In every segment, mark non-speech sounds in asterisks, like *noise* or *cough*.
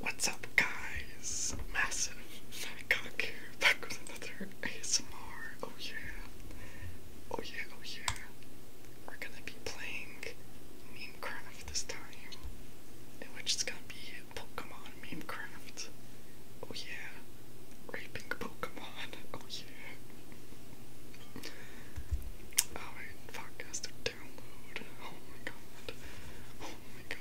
What's up, guys? Massive Cock here, back with another ASMR. Oh, yeah. Oh, yeah, oh, yeah. We're gonna be playing Memecraft this time, in which it's gonna be Pokemon Memecraft. Oh, yeah. Raping Pokemon. *laughs* Oh, yeah. Alright, oh, podcast to download. Oh, my God. Oh, Oh my god.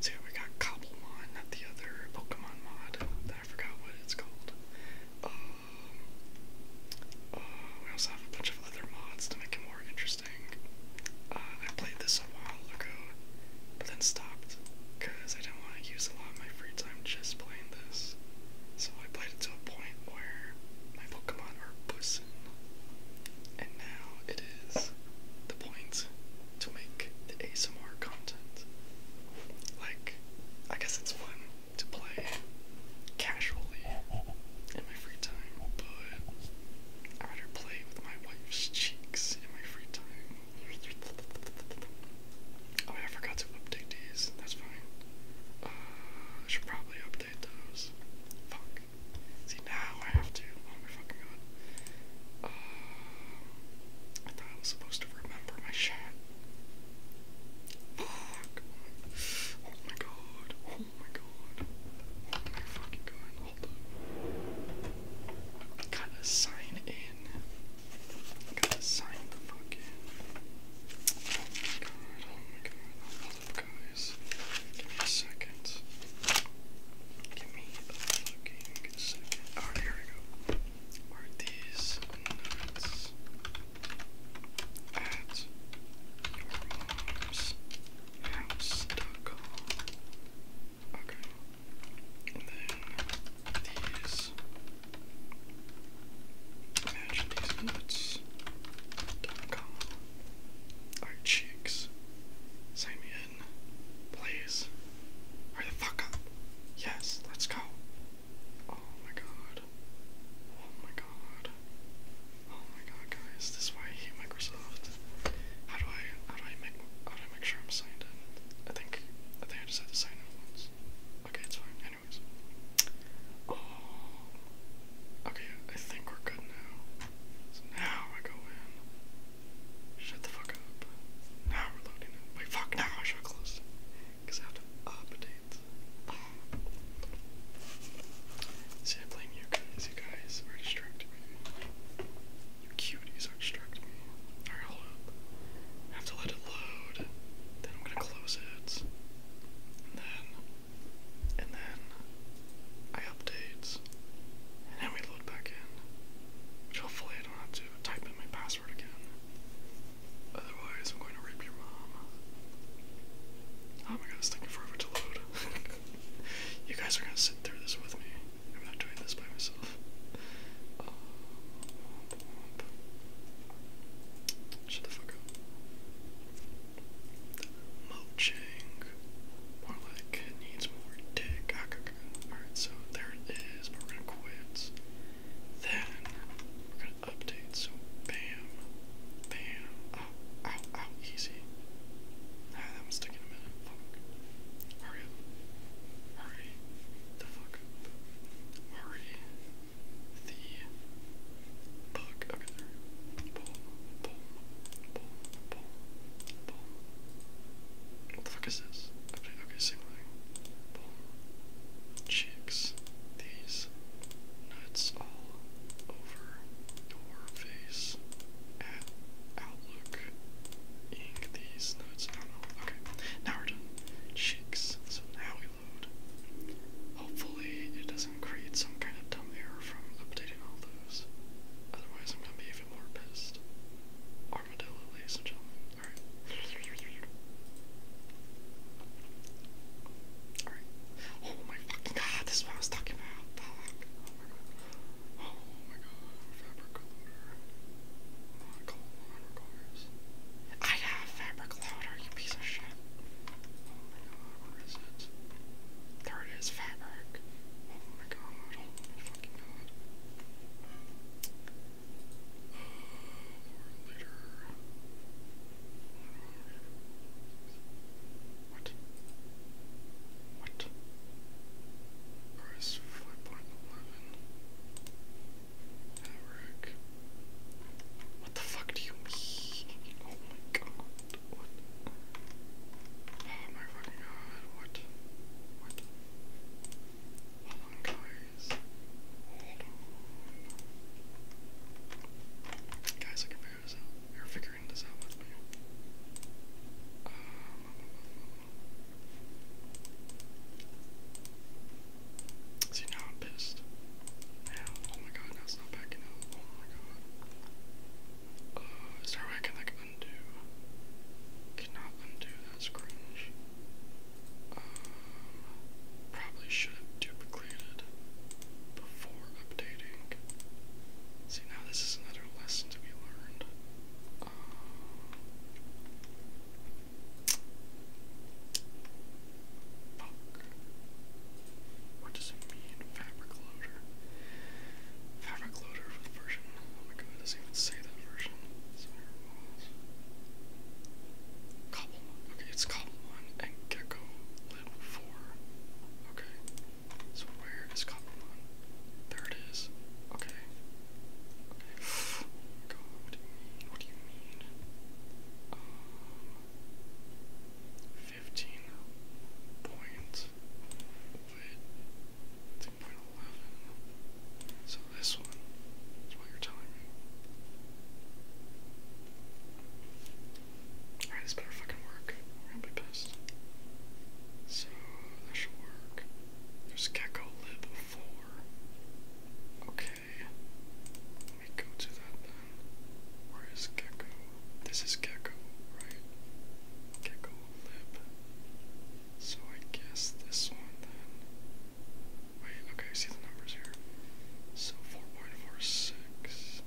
So we got Cobblemon, not the other Pokemon mod that I forgot what it's called. Um, uh, we also have a bunch of other mods to make it more interesting. Uh, I played this a while ago, but then stopped because I didn't want to use a lot of my free time just playing this. So I played it to a point where my Pokemon are Bussin. And now it is the point to make the ASMR content. Like, I guess it's fun to play casually in my free time, but I'd rather play with my wife's cheeks in my free time. Oh, I forgot to update these. That's fine. Uh, I should probably update those. Fuck. See, now I have to. Oh my fucking god. Uh, I thought I was supposed to remember my shit. Fuck. Oh my god. Oh my god. Oh my fucking god. Hold up. Gotta sign in. Gotta sign the fucking oh my god, hold up guys. Give me a second. Give me a second. Alright, here we go. Are these at your mom's house.com? Okay. And then these Imagine these nuts. .com. Our chicks. Sign me in. Please. Hurry the fuck up. Yes, let's go. Oh my god. Oh my god. Oh my god, guys. This is why I hate Microsoft. How do I, how do I make, how do I make sure I'm signed in? I think, I think I just had to sign in once. Okay, it's fine. Um, okay, I think we're good now. So now I go in. Shut the fuck up. Now we're loading Wait, fuck, now I should close Because I have to update. See, I blame you guys. You guys are distracting me. You cuties are distracting me. Alright, hold up. have to let it load. Then I'm gonna close it and then, and then I update, and then we load back in, hopefully I don't have to type in my password again. Otherwise, I'm going to rape your mom. Oh my god, it's taking forever to load. *laughs* you guys are gonna sit through this with me. I'm not doing this by myself. Um, Shut the fuck up. Mochang. More like it needs more dick. Ah, Alright, so there it is, we're gonna quit. Then we're gonna update, so bam, bam, ow, oh, ow, oh, ow, oh, easy. Ah, that one's taking a minute. Fuck. Hurry up. Hurry the fuck Hurry the fuck Okay, okay, Chicks. These nuts all over your face at Outlook. Ink these notes. I Okay, now we're done. Chicks. So now we Hopefully it doesn't create some kind of dumb error from updating all those. Otherwise I'm gonna be even more pissed. Armadillo, ladies and gentlemen. Alright. Alright. Oh my fucking god, this is what I was talking about. Oh my god. Oh my I have fabric loader, you piece of shit. Oh my god, where is it? There it is, fabric. Oh my god, oh my fucking god. What? What? Where is 5.11? What the fuck do you mean? Oh my god. Oh my fucking god. What? What? Hold on, guys. Guys, I can figure this out. You're figuring this out with me. Um, um, um, See, now I'm pissed. oh my god, now not backing up. Oh my god. Uh, is there a way I can, like, undo? Cannot undo, that's cringe. Um, probably should have duplicated before updating. See, now this is another lesson to be learned. Um, Fuck. What does it mean? Fabric loader. Fabric loader version. Oh my god, it doesn't even say that version. Cobblemon. Okay, it's Cobblemon and Gecko Lib 4. Okay. So where is Cobblemon? There it is. Okay. *sighs* Oh god, what do you mean? What do you mean? Um, fifteen point So this one is what you're telling me. Alright, this better fucking work. We're gonna be pissed. So that should work. There's Gecko Lib 4. Okay we go to that Where is Gecko? This is Gecko, right? Gecko lip. So I guess this one then. Wait, okay, see the numbers here. So 4.46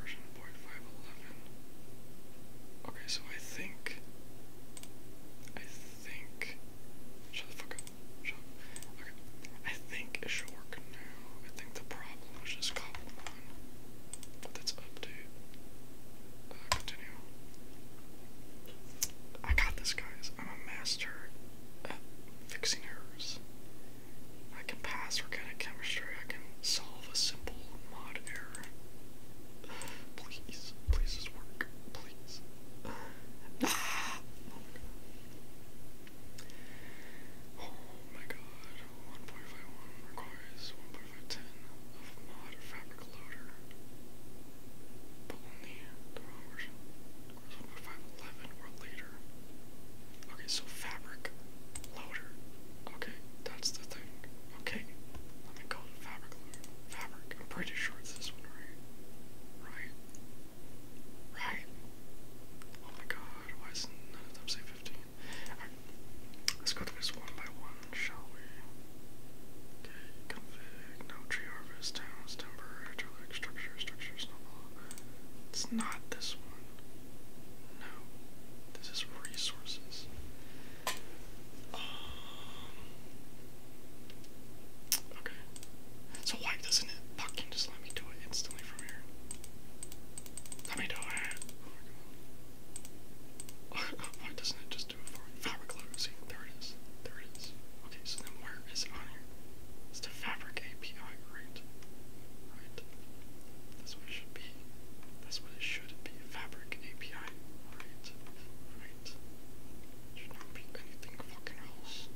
version 0.511. Okay, so I think. I think. Shut the fuck up. I think it should work now. I think the problem was just Goblin. That's update. Uh, continue. I got this, guys. I'm a master at fixing errors. I can pass organic chemistry. I can solve a simple mod error. *sighs* Please, please just work. Please. *sighs* Oh Oh my god, 1.51 requires 1.510 of mod fabric loader. But only the wrong version. 1.511 or later. Okay, so fabric loader. Okay, that's the thing. Okay, let me call it fabric loader. Fabric. I'm pretty sure it's this one, right? Right? Right. Oh my god, why is none of them say 15? let's go through this one by one, shall we? Okay, config, no tree harvest, towns, timber, hydraulic structure, structure, snowball. It's not this one. No, this is resources. Um, okay, so why doesn't it fucking just let me do it instantly from here? Let me do it. *laughs* why doesn't it just do it for me? Fabric logo, there it is. There it is. Okay, so then where is it on here? It's the fabric API, right? Right. That's what it should be. That's what it should be. Fabric API. Right. Right. Should not be anything fucking else.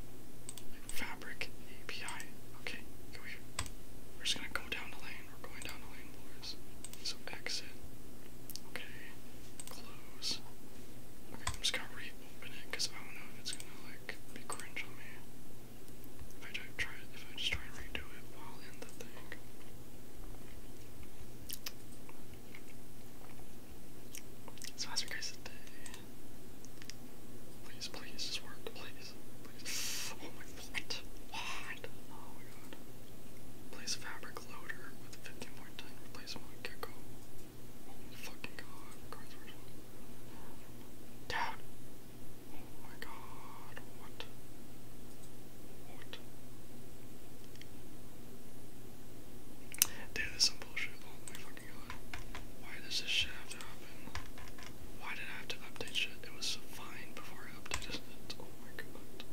Like, fabric API. Okay, go here. We're just gonna go down the lane. We're going down the lane, boys. So exit. Okay, close. Okay, I'm just gonna reopen it because I don't know if it's gonna like be cringe on me. If I try it, if I just try and redo it while in the thing. So that's what guys today. Please, please, just work, please. Please. Oh my what? What? Oh my god. Place fabric loader with 15.10 replacement with Gecko. Oh my fucking god. Cards were Dad! Oh my god. What? What? Dude, this is some bullshit. Oh my fucking why does this shit have to happen? Why did I have to update shit? It was fine before I updated Oh my god.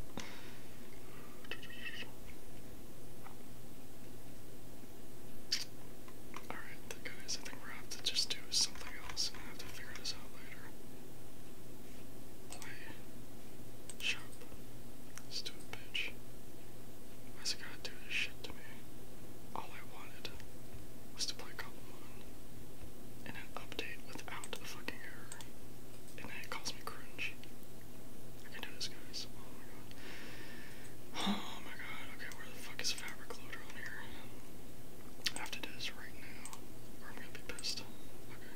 Alright, guys, I think we're gonna just do something else I have to figure this out later. Play. Shop. Stupid bitch. Why it do this shit to me. All I wanted was to play Goblin in an update without a fucking error. And it calls me cringe. I can do this, guys. Oh my god. Oh my god. Okay, where the fuck is Fabric Loader on here? I have to do this right now, or I'm gonna be pissed. Okay.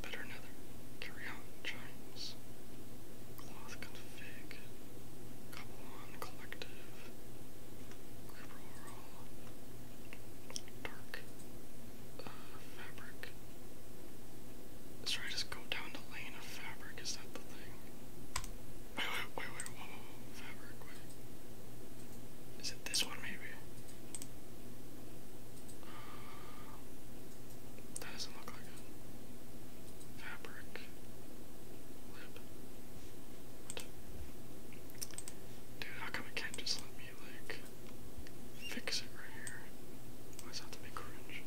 Better another. Carry on, Giants. Cloth config. Kabbalan Collective, Group Dark Fabric. Let's just go down the lane of fabric, is that the thing? Wait, wait, wait, wait, whoa, fabric, Is it this one, maybe? that doesn't look like it. Dude, how come it can't just let me like fix it right here? Why have to be cringe?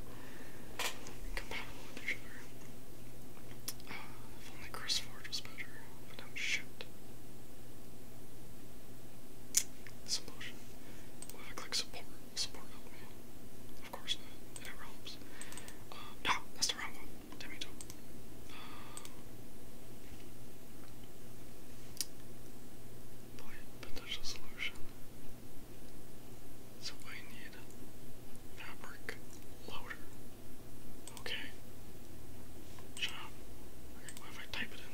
Compatible with each other. Uh, if only Chris Forge was better, but shit. This I click support. Support helped me of course, it never helps. Um, no, that's the wrong one. Damn it. Uh, potential solution. So I need fabric loader. Okay. Job. Okay, what if I type it in?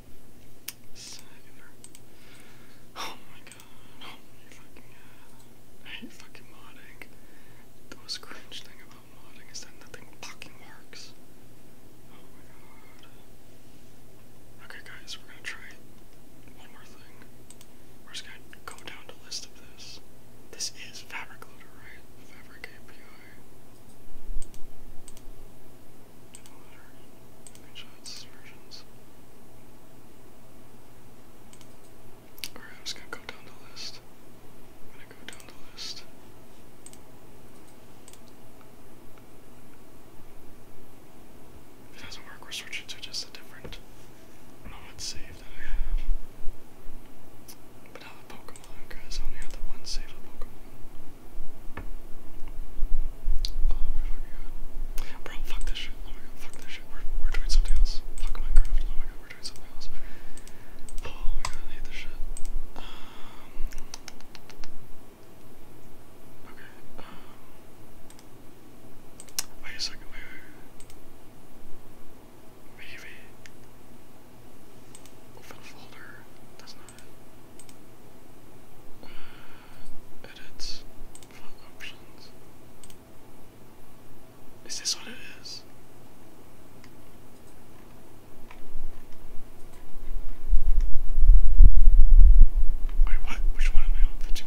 Oh my god. Oh I hate uh, fucking modding. The most cringe thing about modding is that nothing fucking works. Oh my god. Okay guys, we're gonna try one more thing. We're just gonna go down the list of this. This is Fabric Looter, right? Fabric API. Did all that screenshots, versions. Alright, I'm just gonna go down the list. I'm gonna go down the list. If it doesn't work, we're switching to just a different. I don't know that I have. But not the Pokemon, because I only have the one saved Pokemon. Oh my god. Bro, fuck this shit. Oh my god, fuck this shit. We're, we're doing something else. Fuck Minecraft. Oh my god, we're doing something else. Oh my god, hate this shit. Um, okay, um, Wait a second, Maybe. Open folder does not Edit font options. Is this what it is? Wait, what? Which one am I on? 15.6.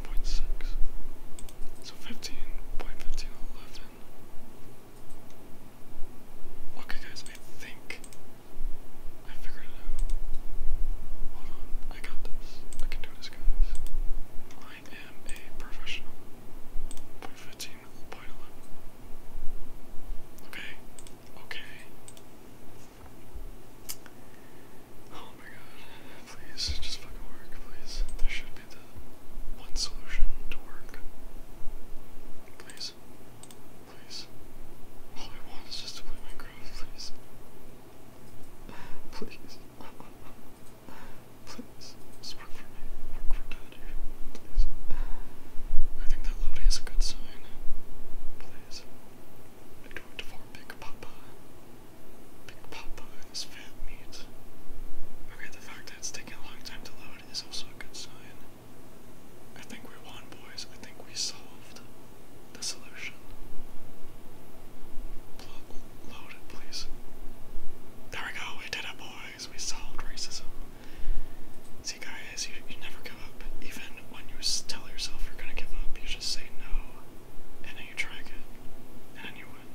So 15.15 .15 11. guys, think I figured it out. Hold on, I got this. I can do this, guys. I am a professional. Point 15, point 11. Okay, okay. Oh my god, please, just fucking work, please. There should be the one solution to work. Please please. All I want is just to play Minecraft, please. Please. Please. work for me. Work for Daddy. Please. I think that Lodi is a good sign. Please. do it for Big Papa. Big Papa his fat meat. Okay, the fact that it's taking a long time to load is also a good sign. I think we won, boys. I think we solved the solution. load it, please. There we go. We did it, boys. We solved racism. See, guys, you, you never give up. Even when you tell yourself you're gonna give up, you just say no, and then you try again, and then you win.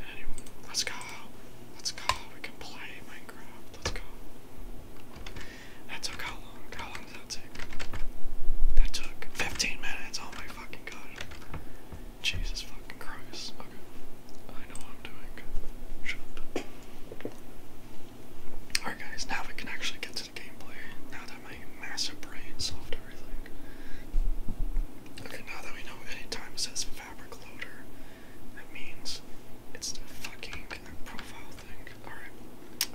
And then you win. Let's go. Let's go. We can play Minecraft. Let's go. That took how long? How long did that take? That took 15 minutes. Oh my fucking god. Jesus fucking Christ. I know I'm doing. Alright guys, now we can actually get to gameplay. Now that my massive brain solved everything. Okay, now that we know any says fabric loader, that means it's the fucking profile thing. Alright.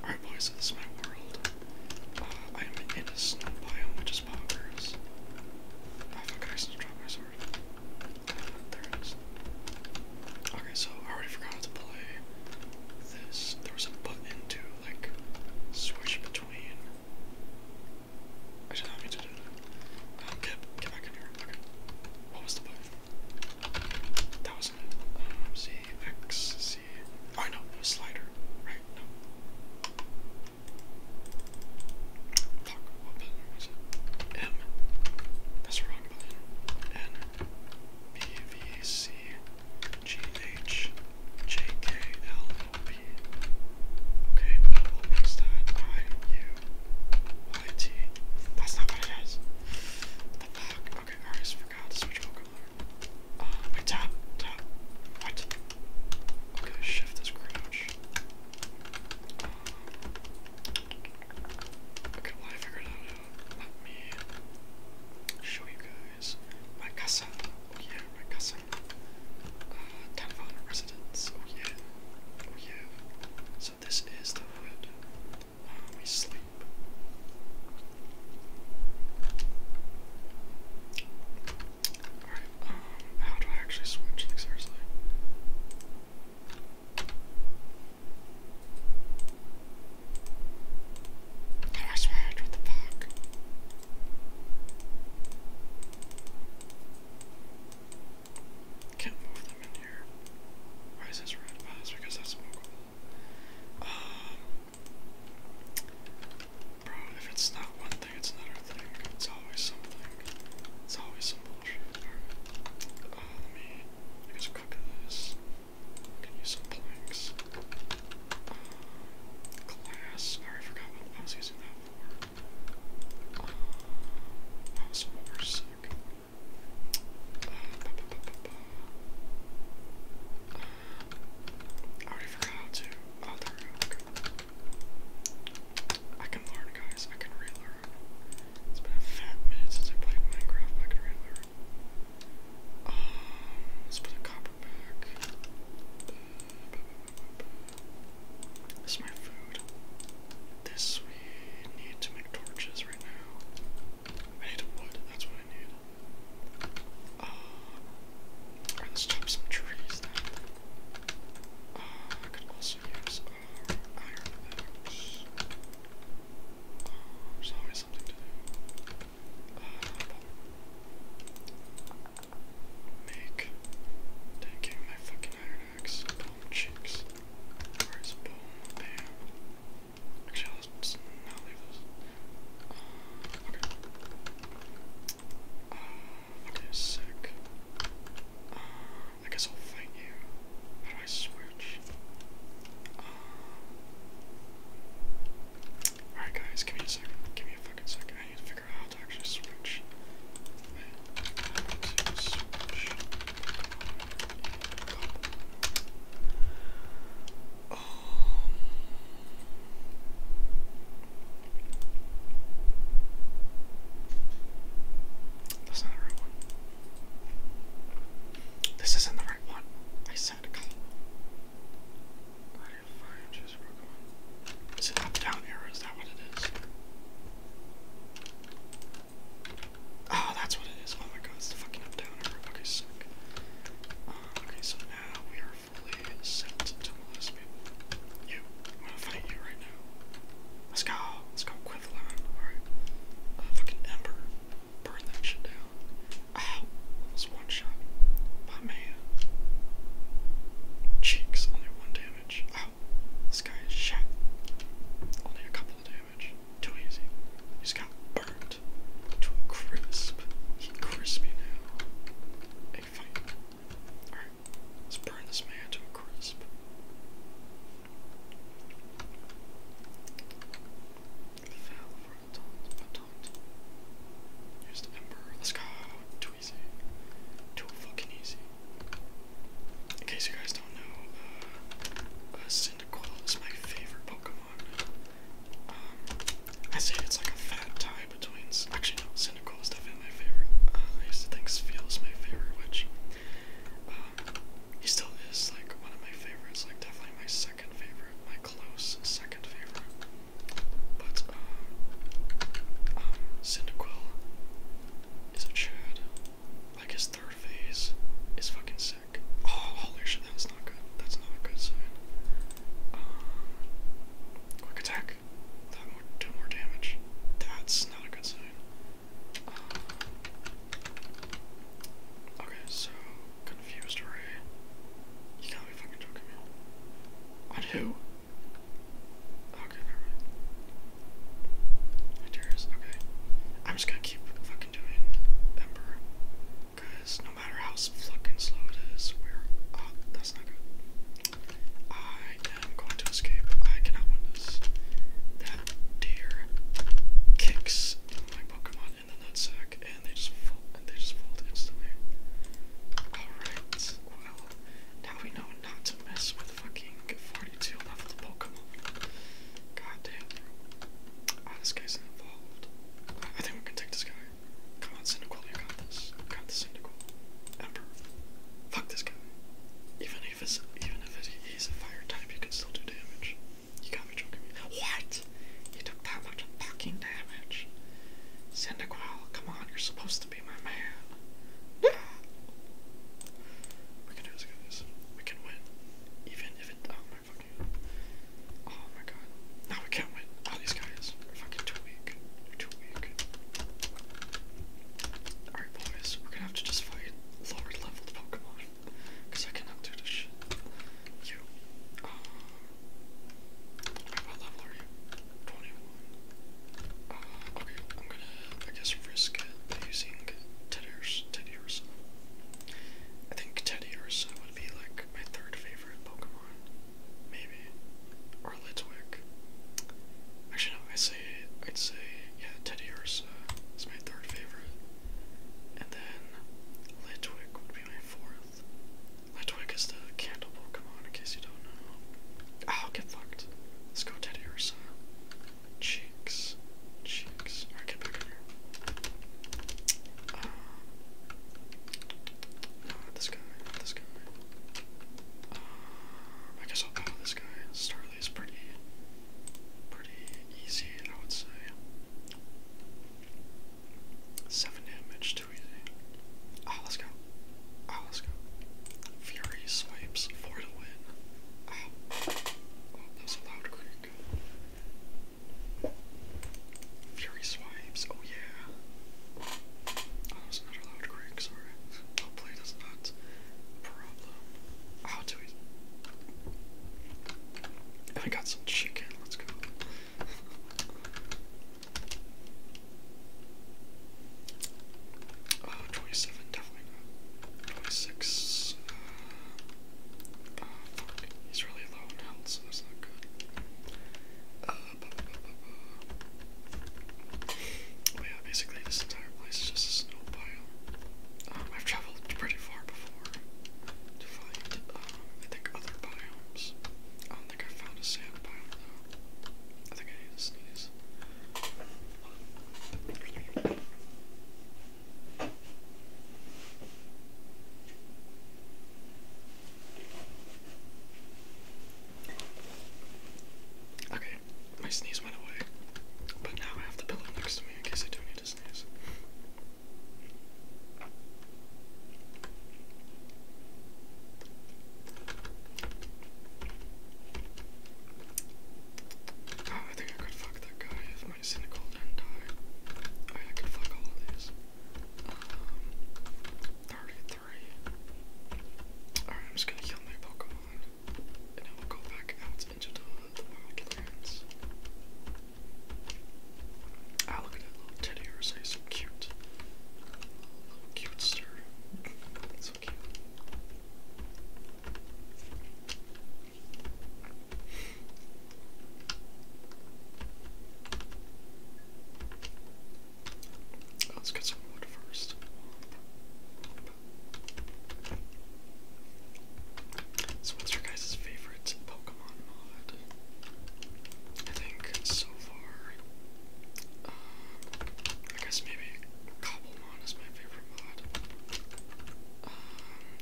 Alright boys, so this is my world. Uh, I'm in a snow biome, which is poggers. Oh fuck, I just dropped my sword. there it is. Okay, so I already forgot how to play this. There was a button to, like, switch between. I should not mean to do that. Um, get, get back in here. Okay. What was the button? That was um, oh, no, slider. Right, no. Fuck, what button was it? M. That's wrong button. N, B, V, C, G, H, J, K, L, L, P. Okay, I press that. I, U, that's not what it is. the fuck? Okay, I always forgot to switch Pokemon. Uh, wait, tap, tap. What? Okay, shift this crouch. Uh, okay, well, I figured that out. Let me show you guys my casa. Oh, yeah, my casa. Uh, town of residence. Oh, yeah. Oh, yeah. So, this is the hood we sleep. Alright, um, I actually switch? seriously? I switch? What the fuck? Can't move them in here. Why is this red? because that's smokeable. Um, bro, if it's not one thing, it's another thing. It's always something. It's always some bullshit. Alright. Uh, let me, I guess, cook this. Can use some planks. Uh, glass. Alright, I forgot what I was using that for. Um, more sick. I already forgot how I can learn guys, I can relearn. It's been a fat minute since I played Minecraft, I can relearn. Um, let's put a copper back. This is my food. This we need to make torches, I need a wood, that's what I need. Uh, let's chop some trees uh, I could also use iron boots. Uh, there's always something to do. Make taking my fucking iron Chicks, Where's Bam? Actually, I'll just not leave this. Uh, okay. Uh, sick. Uh, I guess I'll fight you. How do I switch? Uh, alright, guys, give me a second. Give me a fucking second. I need to figure out how to actually switch. switch that's not the right one. This isn't the right one. I said a column. I didn't find just Pokemon. Is it up down arrow? Is that what it is? Oh, that's what it is. Oh my god, it's the fucking up downer. Okay, sick. Uh, okay, so now we are fully set to molest people. You. I'm gonna fight you right now. Let's go. Let's go, Quithlon. Alright. Uh, fucking Ember. Burn that shit down. Ow. Oh, almost one shot. My man. Cheeks, only one damage. Ow, oh, this guy is shit. Only a couple of damage. Too easy. He's got burnt to a crisp. He crispy now. let's burn this man to a crisp. Fell for a taunt, a taunt. Used Ember. Let's go. Too easy. Too fucking easy in case you guys don't know, uh, uh is my favorite Pokemon. Um, I say it's like a fat tie between. Actually, no, Cyndaquil is definitely my favorite. Uh, I used to think Spheal is my favorite, which um, he still is like one of my favorites. Like definitely my second favorite, my close second favorite. But um, um is a Chad like his third phase is fucking sick. Oh, holy shit, that's not good. That's not a good sign. Um, quick attack. That more damage. That's not a good sign. Um, okay, so confused array. You gotta be fucking joking me. On who? Okay, never mind. Enders, okay. I'm just gonna keep fucking doing Ember. Because no matter how fucking slow it is, that's not good. I am going to escape. I cannot win this. That deer kicks my Pokemon in the nutsack and they just fall, they just fold instantly. Alright, well, now we know not to mess with fucking 42 level Pokemon. God damn. Ah, this guy's involved. I think we can take this guy. Come on, Cyndaquil, you got this. You got this, Cyndaquil. Ember. Fuck this guy. Even if it's even if he's a fire type, you can still do damage. You got me be joking me. What? You took that much fucking damage. Cyndaquil, come on, you're supposed to be my man. *laughs* we can do this guys we can win. Even if it. Oh my fucking. Oh my god. No, we can't win. All these guys are fucking too weak. too weak. Alright, boys, we're gonna have to just fight lower level Pokemon. Because I cannot do this shit. You. Um. What level 21. Uh, okay, I'm gonna I guess risk using Teddy Ursa. Teddy Ursa. I think Teddy Ursa would be like my third favorite Pokemon, maybe, or Litwick. Actually, no. I say I'd say yeah, Teddy Ursa is my third favorite, and then Litwick would be my fourth. Litwick is the candle Pokemon, in case you don't know. Oh, get fucked. Let's go Teddy Ursa cheeks, cheeks. All right, get back in here. Um, uh, this guy, this guy. Um, I guess I'll bow this guy. Starley is pretty, pretty easy, I would say. Seven damage, too easy. Ah, let's go. Ah, let's go. Fury swipes, for the win. Um, that's a loud click. Fury swipes, oh yeah. Oh, that was another loud click, sorry. I'll play does not problem. i do it. I got some chicken, let's go. *laughs* Uh, definitely six. he's really low on health, so that's not good. Uh, oh, yeah, basically this entire place is just a snow pile. Um, I've traveled pretty far before to find, uh, I think, other biomes. I don't think I found a sand biome though. I think I need to sneeze. Okay, my sneeze went away, but now I have the pillow next to me in case I do need to sneeze. Oh, I think I could fuck that guy if my cynical didn't die. Oh, I could fuck all of these. Um, 33. Alright, I'm just gonna kill my Pokemon. And then we'll go back out into the, the wildlands. Ah, look at that little teddy or so cute. cute sir let's get some wood first. So, what's your guys' favorite Pokemon mod? I think so far, um, I guess maybe Cobblemon is my favorite mod. Um,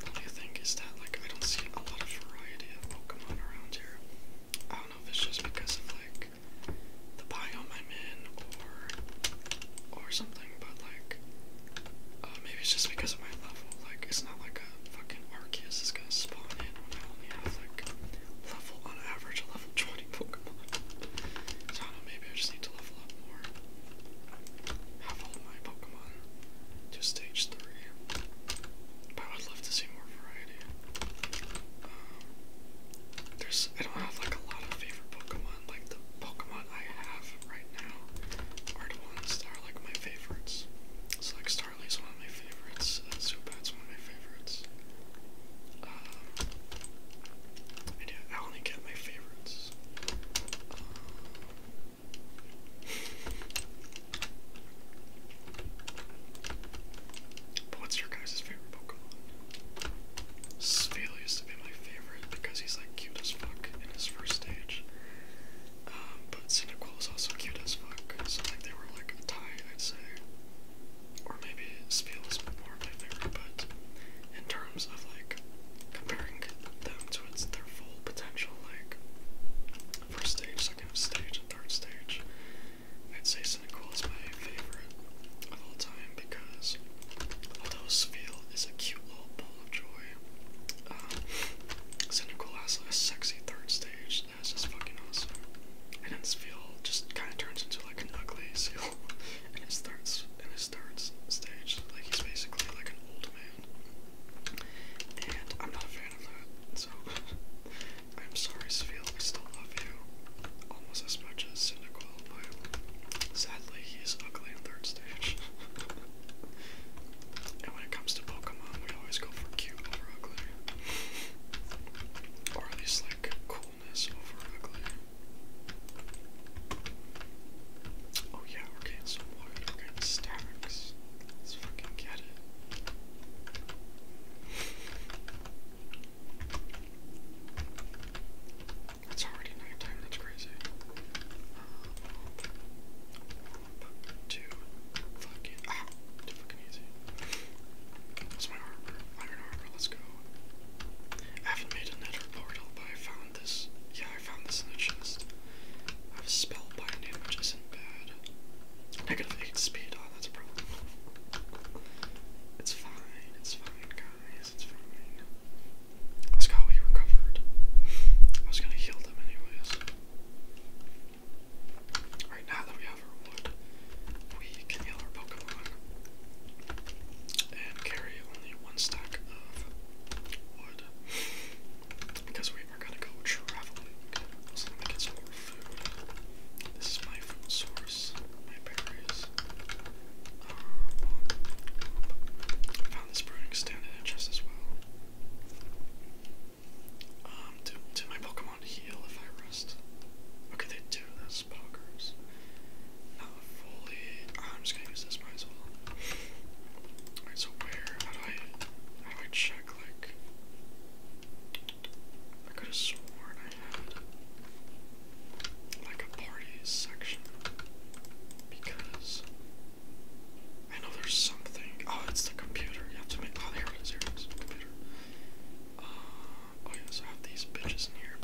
what do Is that like I don't see a lot of variety of Pokemon around here. I don't know if it's just because of like the biome I'm in or or something, but like uh, maybe it's just because of my level. Like it's not like a fucking Arceus is gonna spawn in when I only have like level on average level 20 *laughs* Pokemon. Pokemon. maybe I just need to level up more. Have all my Pokemon to stage 3. But I would love to see more variety. Um, there's, I don't have like a lot of favorite Pokemon. Like the Pokemon I have right now are the ones that are like my favorites. It's like Starly's one of my favorites, uh, Zubat's one of my favorites. Um, I only get my favorites, what's your guys' favorite Pokemon? Spheal used to be my favorite because he's like cute as fuck in his first stage. Um, but Cynical is also cute as fuck, so like they were like a tie, I'd say. Or maybe Spheal is more of my favorite, but in terms terms of like comparing them to its their full potential, like first stage, second stage, and third stage. I'd say Cynical is my favorite of all time because although Spiel is a cute little ball of joy, um, Cynical has a sexy third stage that's just fucking awesome. And then Spiel just kind of turns into like an ugly seal and it starts in his third stage. Like he's basically like an old man, and I'm not a fan of that. So *laughs* I'm sorry, Sveal. I still love you almost as much as Cynical, but sadly he's ugly in third stage. *laughs* and when it comes to Pokemon, we always go for cute over ugly, or at least like cool Oh yeah, we're getting stacks. Let's fucking get it. It's already nighttime, that's crazy. Uh, two, fucking, ah, too fucking easy. It's my armor, iron armor, let's go. I have made a nether portal, I found yeah, I found this in the chest. I have a spell binding, which isn't bad. Negative 8 speed, oh, that's a problem. It's fine, it's fine, guys, it's fine. Let's go, he recovered. I was gonna heal them anyways. Alright, now that we have our wood, we can heal our Pokemon and carry only one stack of wood because we are gonna go traveling. let me get some more food. This is my food source, my berries. I um, found this brewing stand in chest as well. Um, do, do my Pokemon heal if I rest? Okay, they do. That's not fully. Ah, I'm just gonna use this. Might as well. Alright, so where? How I? How do I check? Like, I could have sworn I had like a party section because I know there's something. Oh, it's the computer. You to make. Oh, here it is. Computer. Uh, oh yeah, have these bitches in here. If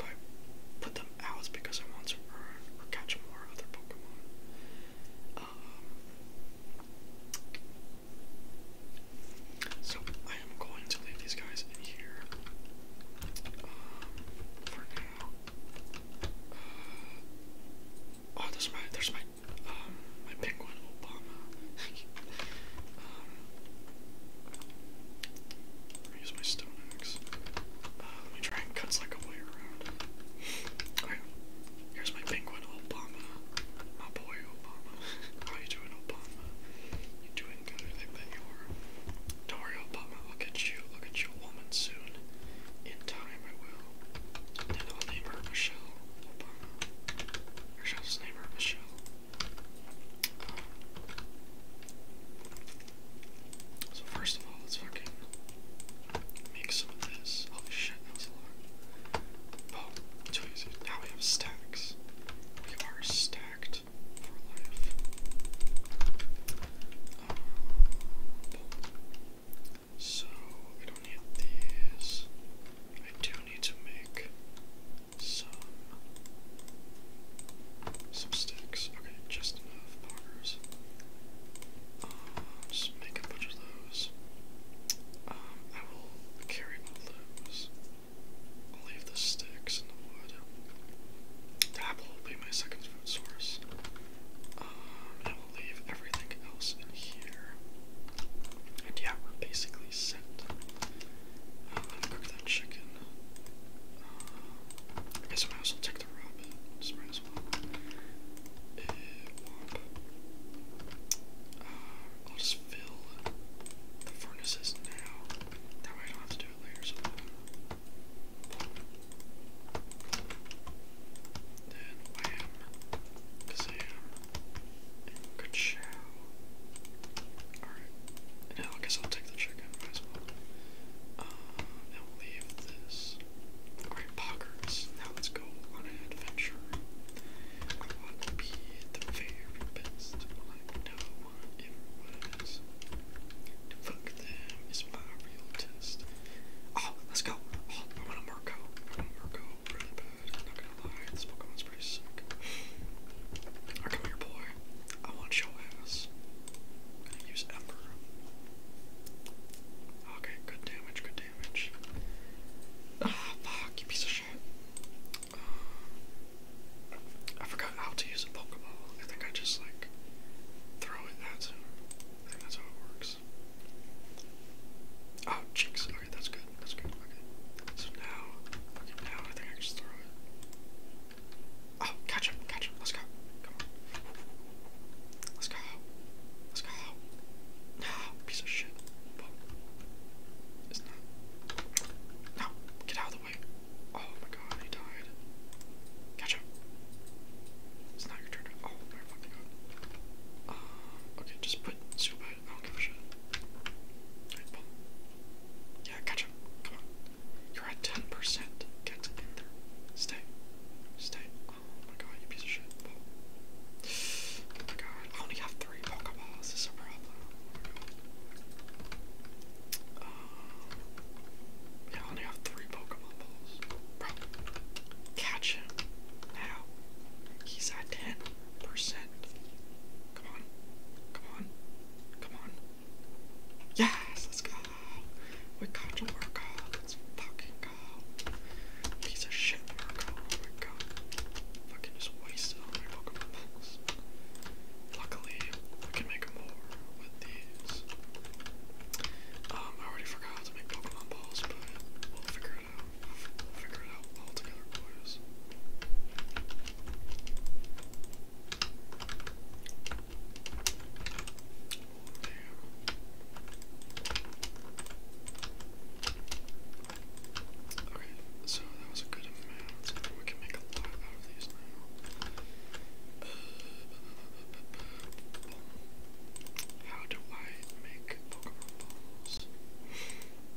put the them out because I want to catch more other Pokemon. Um, so I am going to leave these guys in here um, for now. Uh, oh, there's my there's my um, my penguin Obama. *laughs* I use my stone axe. let me try and cut like way around. Okay, here's my penguin, Obama. My boy, Obama. How you doing, Obama? You doing good? I bet you are. do Obama. I'll you. I'll you woman soon. In time, I will. And I'll Michelle Obama. Or shall Michelle? So first of all, let's fucking make some of this. Holy shit, that was a lot. Oh, Now we have stacks. We are stacked uh, so I don't need these. I do need to make some some sticks. Okay, just of poggers. Um, just make a bunch of those. Um, I will carry both those. I'll leave the sticks and the wood. apple will be my second food source. Um, and I will leave everything else in here. And yeah, we're basically set. let me cook chicken. Uh, I guess I might as well take the rabbit. Just as well. Uh, I'll just fill the furnaces now. That way I don't have to do it later. So then wham, kazam, and ka Alright. And now I guess I'll take the chicken as well now we'll leave this. Alright, Poggers. Now let's go on an adventure. I want to be the very best one like no one ever was. fuck them is my real test. Oh, let's go. Oh, I want a Murko. I really bad. not gonna lie, this Pokemon's pretty sick. come here, boy. I want your ass. I'm gonna use Ember. Okay, good damage, good damage. Ah, fuck, you piece of shit. Uh, I forgot how to use a Pokeball. I think I just, like, throw it at I think that's how it works. Oh, cheeks. Okay, that's good. That's good. Okay. So now, now I think I just throw it catch oh, him, catch him. Let's go. Come on. Let's go. Let's go. No, piece of shit. Isn't No, get out of the way. Oh my god, he died. Catch him. It's not your turn. Oh my god. Uh, okay, just put super. I don't give a shit. Yeah, catch him. Come on. You're at 10%. Get in there. Stay. Stay. Oh my god, you piece of shit. Oh, my god. I only have three Pokeballs. This is a problem. Oh um, only have three Pokemon balls. Catch him. Now. He's at 10%. Come on. Come on. Come on. Yes, let's go. We got to work on. Let's fucking go. Piece of shit, Marco. Oh my Fucking just wasted all Pokemon balls. Luckily, we can make more with these. Um, I already forgot to make Pokemon balls, but we'll figure it out. figure it out all together, boys. Okay, so that was a good amount. We can make a lot out of these now. how do I make Pokemon balls?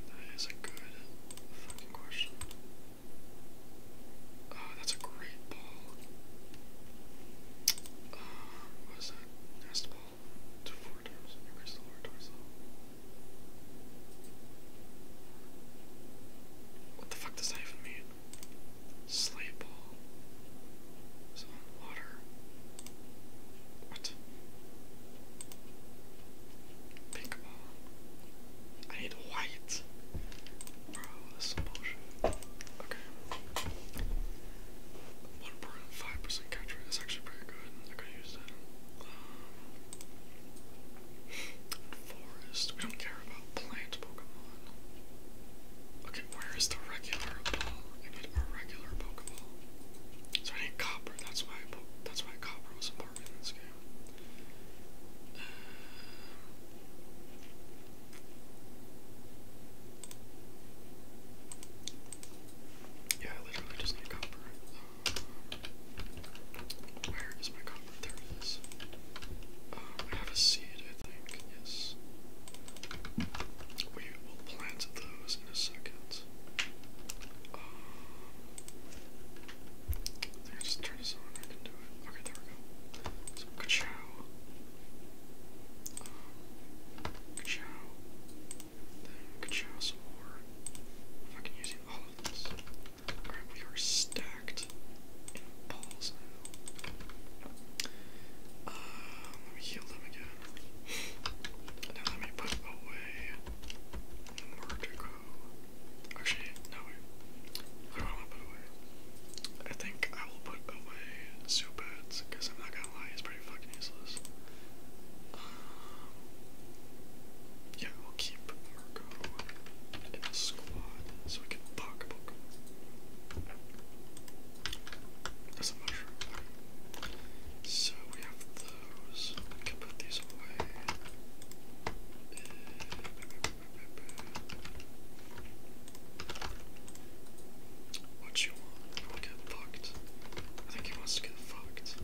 That is a good fucking question. Oh, that's a great ball. Uh, what is that? Nest ball. To four times, increase the lower torso. What the fuck does that even mean? Sleigh ball. Is on water? What? Pink ball. I need white. Okay. 1.5% catch rate is actually pretty good. I could use that. Um, forest. We don't care about plant Pokemon. Okay, where is the regular ball? I need a regular Pokeball. So I need copper. That's why. I that's why copper was important in this game yeah, I literally just need copper. where is my copper? There it is. Um, I have a seed, I think. Yes. We will plant those in a second. Um, I think just turn this on. I can do it. Okay, there we go. So, ka-chow. Um, ka-chow. Then ka-chow some I'm fucking all of this. we are stacked balls um, let me heal them again. *laughs* now let me put away Murdergo. Actually, no wait. What do I want to put away? I think I will put away Zubats, because I'm not gonna lie, he's pretty fucking useless. Um, yeah, we'll keep Marco in squad so we can block That's a mushroom. So we have those. We can put these away. What you want? You want get fucked? I think he wants to get fucked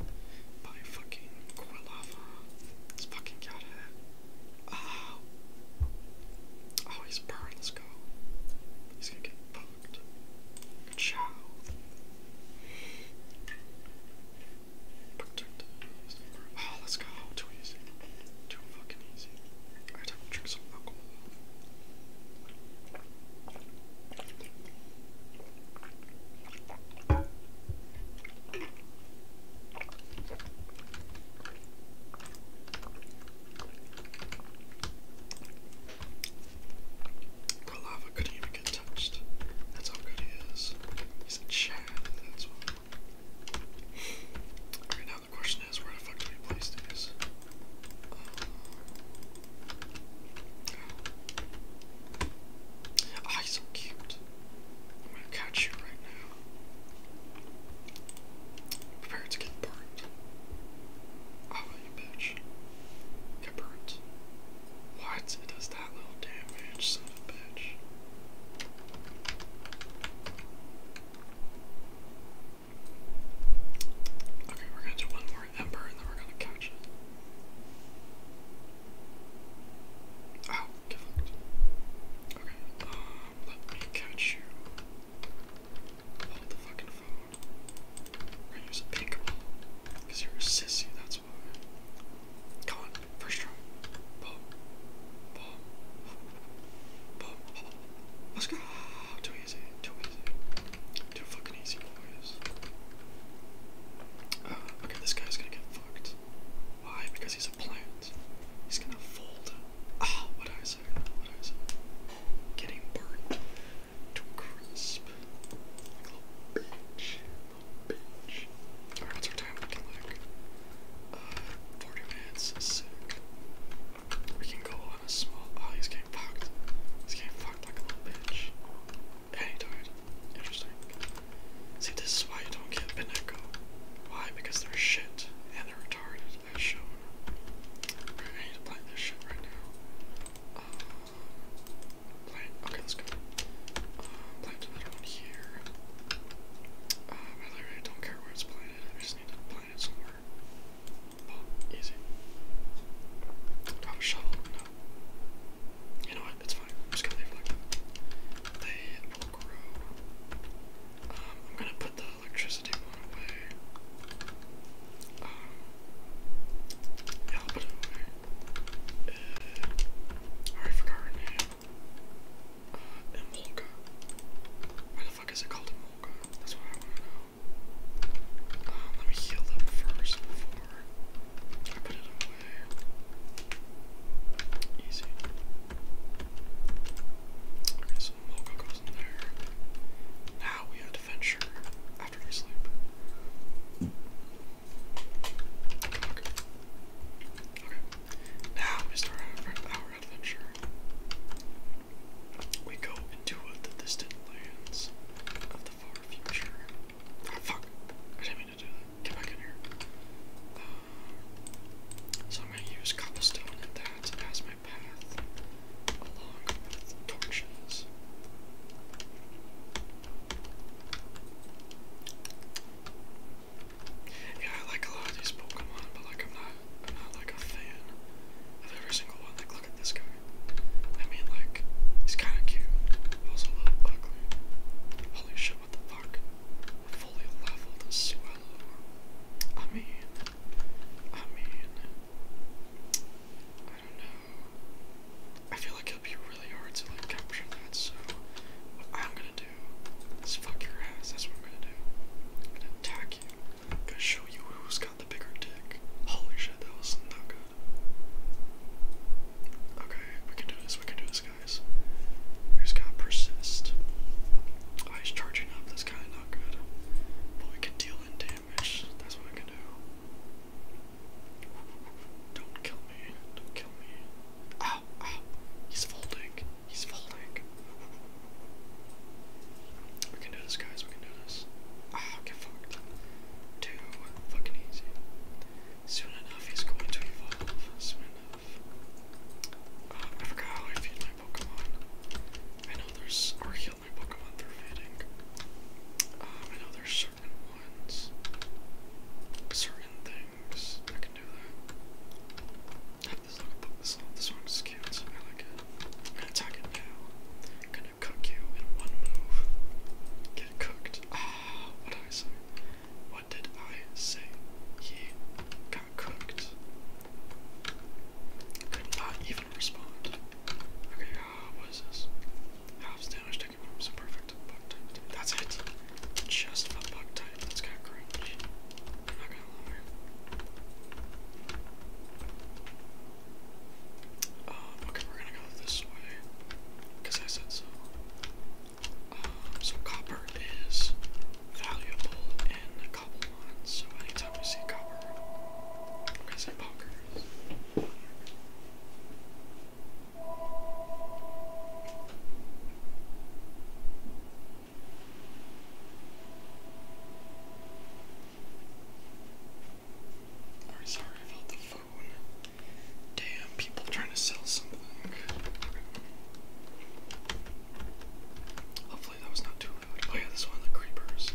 by fucking Quilava. let fucking get Oh. Oh, he's burned. Let's go. He's gonna get fucked. Ciao. Oh, let's go. Too easy. Too fucking easy. Alright, time to drink The lava couldn't even get touched. That's how good he is. He's a Chad, Okay, now the question is where the fuck do we place these? Um, oh. he's so cute. I'm gonna catch you right now. Prepare to get burnt. Oh, you bitch. Get burnt. What? It does that little damage, son of a bitch. Okay, we're gonna do one more ember and then we're gonna couch it. Oh, different. Okay, um, let me catch you. Hold the fucking phone. We're gonna use a pink roll. Because you're a sissy, that's why. Come on, First row. Let's go. Too easy. Too easy. Too fucking easy, boys. okay, this guy's gonna get fucked. Why? Because he's a plant. He's gonna fold. Ah, what I What I Getting burnt to crisp. little bitch. Little bitch. Alright, what's our time looking like? Uh, 40 minutes, sick. We can go on a small. Oh, he's getting fucked. He's getting fucked like a little bitch. And he Interesting. See, this is why you don't get Beneco. Why? Because they're shit and they're retarded, as shown. Right, I need to plant this shit right now. Uh, okay, let's go. Uh, plant another one here. Um, really, don't care where it's planted. I just need to plant it somewhere. Oh, easy. Do a shovel? No. You know what? It's fine. I'm just gonna leave it They will grow. Um, I'm gonna put the electricity one away. Um, yeah, I'll put it away. Uh, I forgot her name. And Volga. Why the fuck is it called Volga? That's what I want to know. Uh, let me heal them first put it away. Easy. Okay, so Volga goes in there. Now we adventure after we sleep. Now we start our, adventure. We go into the distant lands of the far future. Ah, fuck! I didn't mean to do that. Get back in here. Uh, so I'm going to use cobblestone and that as my path, along with torches. Yeah, I like a lot of these Pokemon, but like I'm not, I'm not like a fan of every single one. Like, look at this guy. I mean, like, he's kind of cute, also a Holy shit! What the fuck? fully leveled swallow. I mean, I mean, I don't know. I feel like it'll be really hard to like capture that, so what I'm gonna do is fuck your ass. That's what I'm gonna do. I'm gonna attack you. I'm gonna show you who's got the bigger dick. Holy shit, that was not good. Okay, we can do this. We can do this, guys. We just gotta persist. Oh, he's charging up. That's kind of not good. But we can deal in damage. That's what I can do. Don't kill me. Don't kill me. Ow, ow. He's folding. He's folding. We can do this, guys. We can do this. Ah, get fucked. Too fucking easy. Soon enough, he's going to evolve. Soon enough. Uh, I forgot how I feed my Pokemon. I know there's. or heal my Pokemon through feeding. Um, I know there's certain ones. Certain things. I can do that. This one's cute, I like it. I'm gonna attack it now. I'm gonna cook you in one move. Get cooked. Ah, what did I say? What did I say? He got cooked. Could not even respond. Okay, uh, what is this? Half damage taken from some perfect butt. That's it just a Bucktide that's got cringe. not gonna lie. Um, okay, we're gonna go this way. Because I said so. Um, so copper is valuable in copper mines, so anytime we see copper, I'm gonna say bonkers. I'm sorry about the phone. Damn, people trying to sell something. Hopefully that was not too loud. Oh yeah, this one, the creepers.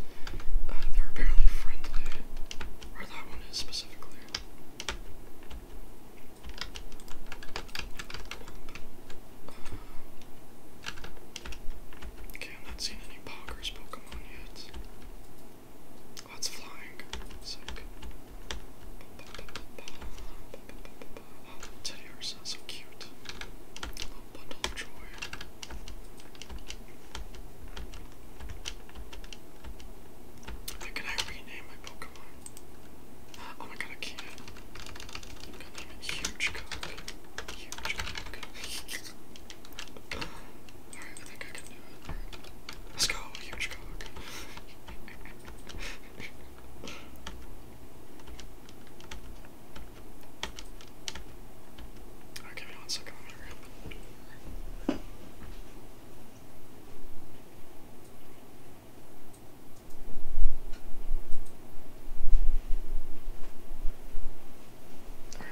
Uh, they're apparently friendly. Or that one is specifically i have not seen any Poggers Pokemon yet. Oh, flying. Sick. Teddy Ursa, so cute. little bundle of joy. Can I rename my Pokemon? Oh my god, I can't. God damn it. Huge cock. Huge cock. Alright, I think I can do it. Let's go, huge cock. give me 12nd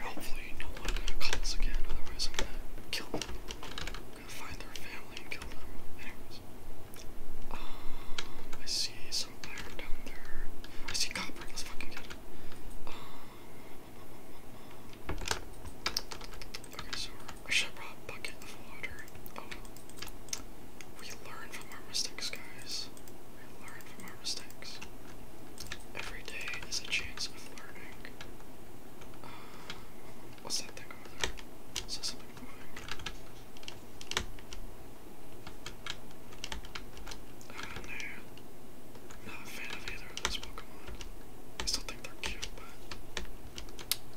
Hopefully no one uh, calls again, otherwise I'm gonna kill them. gonna find their family and kill them. Anyways. Um, I see some iron down there. I see copper, let's fucking get it. Um, um, Okay, so I should have a bucket of water. Oh, we learn from our mistakes, guys. We learn from our mistakes. Every day is a chance of learning. Um, what's that thing over there? Is that something moving? Uh, no, i not a fan of either of those Pokemon. I still think they're cute, but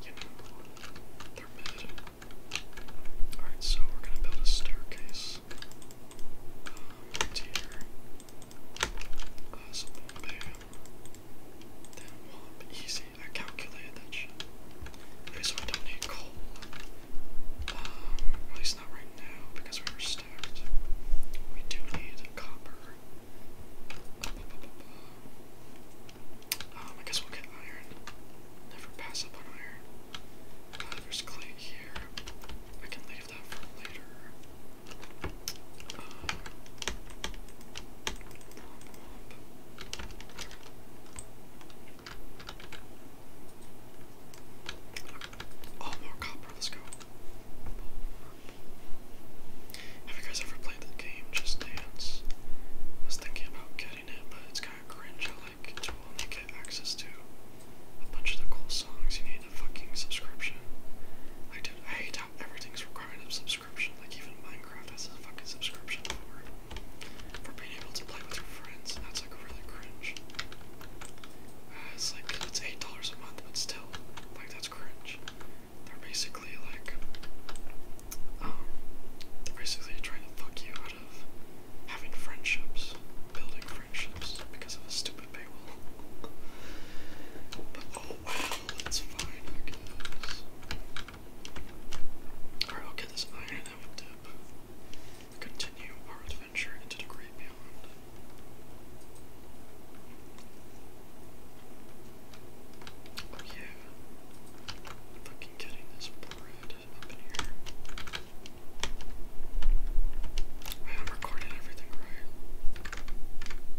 you know, Alright, so we're gonna build a staircase. Um, right here. easy. I calculated that shit. Okay, so I don't need coal. Um, at least not right now, because we were stacked. We do need copper. Um, I guess we'll get iron. Never pass up on iron. Uh, there's clay here. I can leave that for later. Uh, oh, more copper, let's go. Have you guys ever the game Just Dance. I was thinking about getting it, but it's kind of cringe. I like to only get access to a bunch of the cool songs. You need a fucking subscription. I do. I hate how everything's required of subscription. Like even Minecraft has a fucking subscription for for being able to play with your friends. That's like really cringe. Uh, it's like it's eight dollars a month, but still, like that's cringe. They're basically like, um, they're basically trying to fuck you out of having friendships, building friendships because of a stupid paywall. but oh well, it's fine, I guess. Alright, I'll get this iron and have a dip. Continue our adventure into the great beyond. Are you fucking getting this board up in here? I am recording everything right.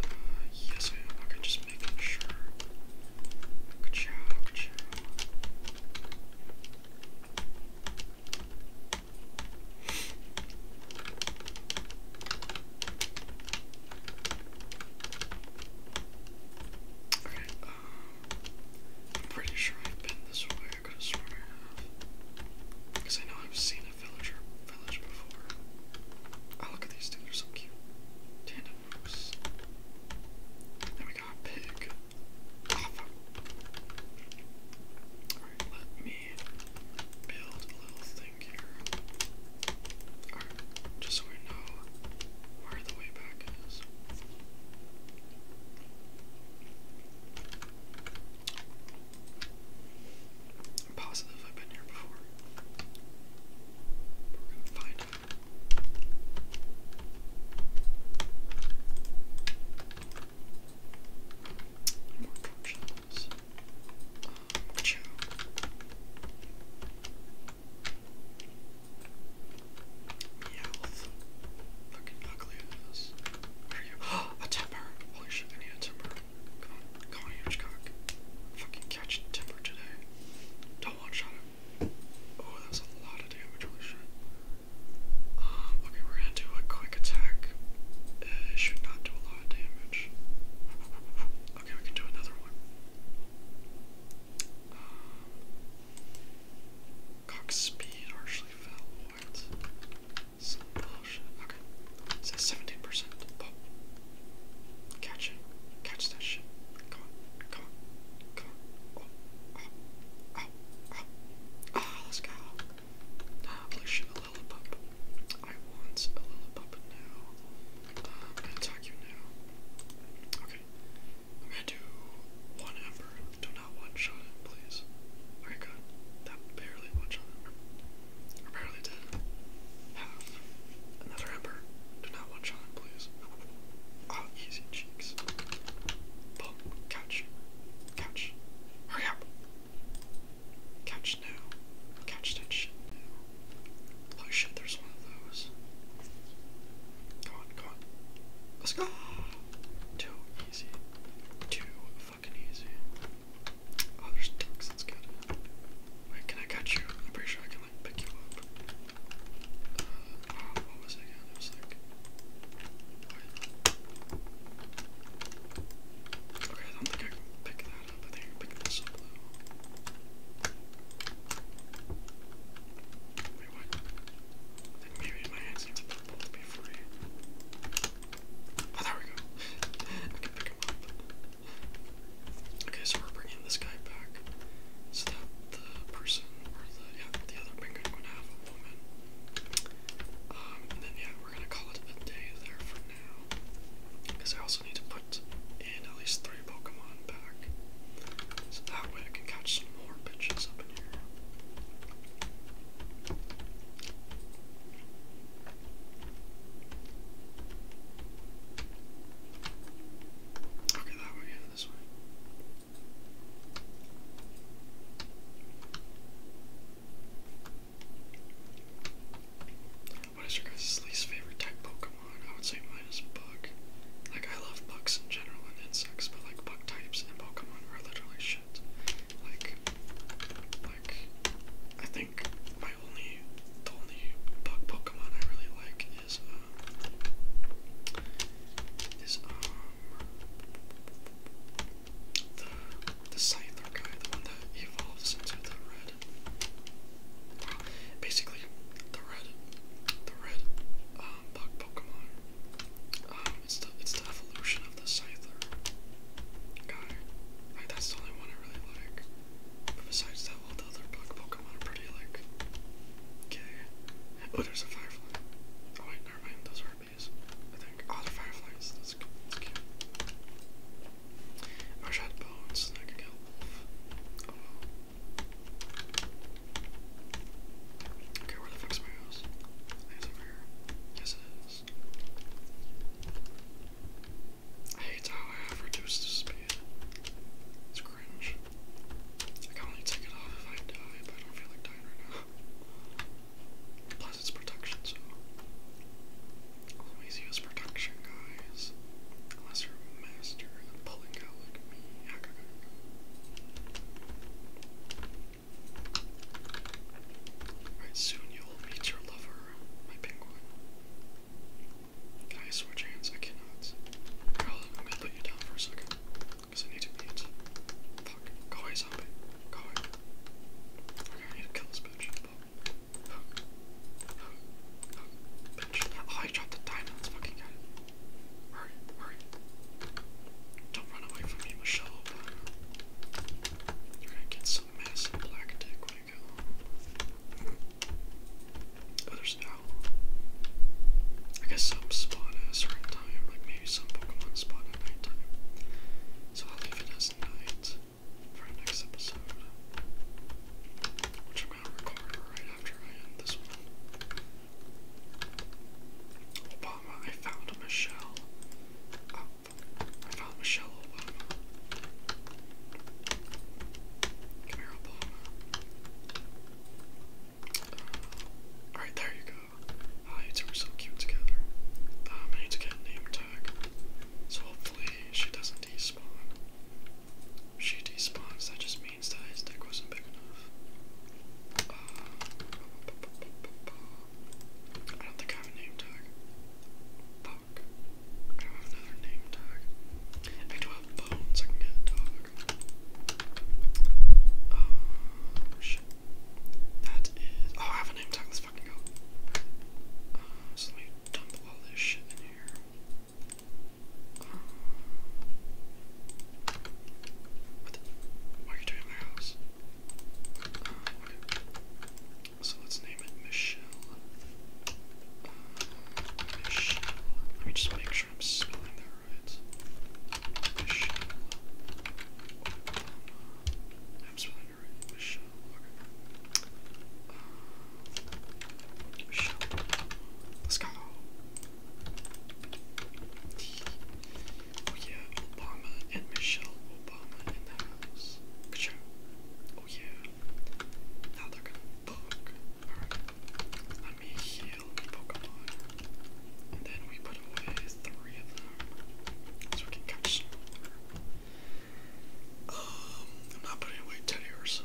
Uh, yes, I am. Okay, just making sure. good job. Okay, um, I'm pretty sure I've been this way. I could have sworn I have. Because I know I've seen a villager village before. Oh, look at these two, they're so cute. Tandem moose. Then we got a pig. Oh, Alright, let me build a little thing here just so we know where the way back is. positive I've been here before. we're gonna find out. More drop yeah, Fucking ugly ass. *gasps* a temper! Holy shit, I need a temper. Come on, come on, huge cock. Fucking catch temper today. Don't one shot him. Oh, that was a lot of damage, holy shit. Um, okay, we're gonna do a quick attack. it should not do a lot of damage. Okay, we can do another one. Um, speed harshly fell. What? Some bullshit. Okay. It says 17%. Catch it. Catch that shit. Come on. Come on. Come on. Oh. Oh. Oh. oh. Ah, let's go. Ah, blue shit. A lollipop. I want a lollipop now. Uh, i attack you now. Okay. I'm gonna do one ember. Do not one shot it, please. Okay, good. That barely one shot it. barely did. Half. Another ember. Do not one shot it, please. Oh, easy cheeks. Boom. Couch. Hurry up. Couch now. Couch that shit Oh shit, there's one of those. Come on, come on. Let's go! Too easy. Too fucking easy. Oh, there's ducks, that's good. Wait, can I catch you? I'm pretty sure I can, like, pick you up. Uh, oh, Wait. Okay, I don't think I can pick that up. I pick this up, Oh, there we go. Okay, so we're bringing this guy back so that the person, or the, yeah, the other penguin would have a woman. Um, and then, yeah, we're gonna call it a day there for now. Because I also need to put in at least three Pokemon back. So that way I can catch some more bitches up in here. Okay, that way, yeah, this way. What is your guys' least favorite type Pokemon? I would say mine is bug. Like, I love bugs in general and insects, but like, bug types and Pokemon are literally shit. Like, like, I think my only, the only bug Pokemon I really like is, um, is, um, the, the Scyther guy, the one that evolves into the red Basically, the red, the red um, bug Pokemon. Um, it's the it's the evolution of the Cyther guy. Like that's the only one I really like. But besides that, all the other bug Pokemon are pretty like okay. Oh, there's a firefly. Oh wait, never mind. Those are bees. I think. Oh, the fireflies. That's, that's cute. I wish bones I could get Oh Okay, where the fuck's my house? I think here. Yes, it is. I hate how I have reduced the speed. It's cringe. I can only take it off if I die, but I don't feel like dying right now. Plus, it's protection, so always use production, guys. Unless you're a master at pulling out like me. Alright, soon you'll meet your lover, my penguin. Can I switch hands? I cannot. Girl, let me let you down for a second. Because I need to eat. Fuck. Go zombie. Go away. Okay, I need to kill this bitch. Oh, I dropped the diamond. Let's fucking get Hurry, hurry. Don't run away from me, Michelle. You're gonna get some massive black dick when you go home. Oh, I guess some spawn at certain time, like maybe some Pokemon spawn at nighttime. So I'll leave it as night for our next episode. I Obama, I found Michelle. I found Michelle Obama. Come Obama. Alright, there you go. Ah, two are so cute together. Um, I need to get a name tag. So hopefully she does despawn. She despawns, that just means that his dick wasn't big enough. Uh, I don't think I have a name tag. Fuck. I have another name tag. I do have bones, I can get a dog. Oh, shit. That is. Oh, I have a name tag, let's fucking go. Uh, so dump all this shit in here. What why are you doing my house? So let's name it Michelle. Michelle. Let me just make sure I'm spelling that right. Michelle. I'm spelling it right. Michelle. Shop. Let's go. Oh yeah, Obama and Michelle Obama in the house. Oh yeah. Now they're gonna poke. Let me heal Pokemon. And then we put away three of them. So we can catch I'm not putting away Teddy Ursa.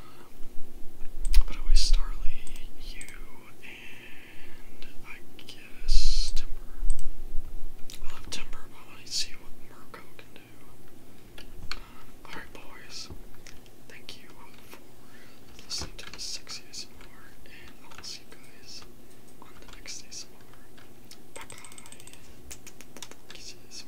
i away Starly, you, and I guess Timber. I love Timber, but I want to see what Mirko can do. Uh, alright, boys. Thank you for listening to the sexy ASMR, and I will see you guys on the next ASMR. Bye bye. Kisses.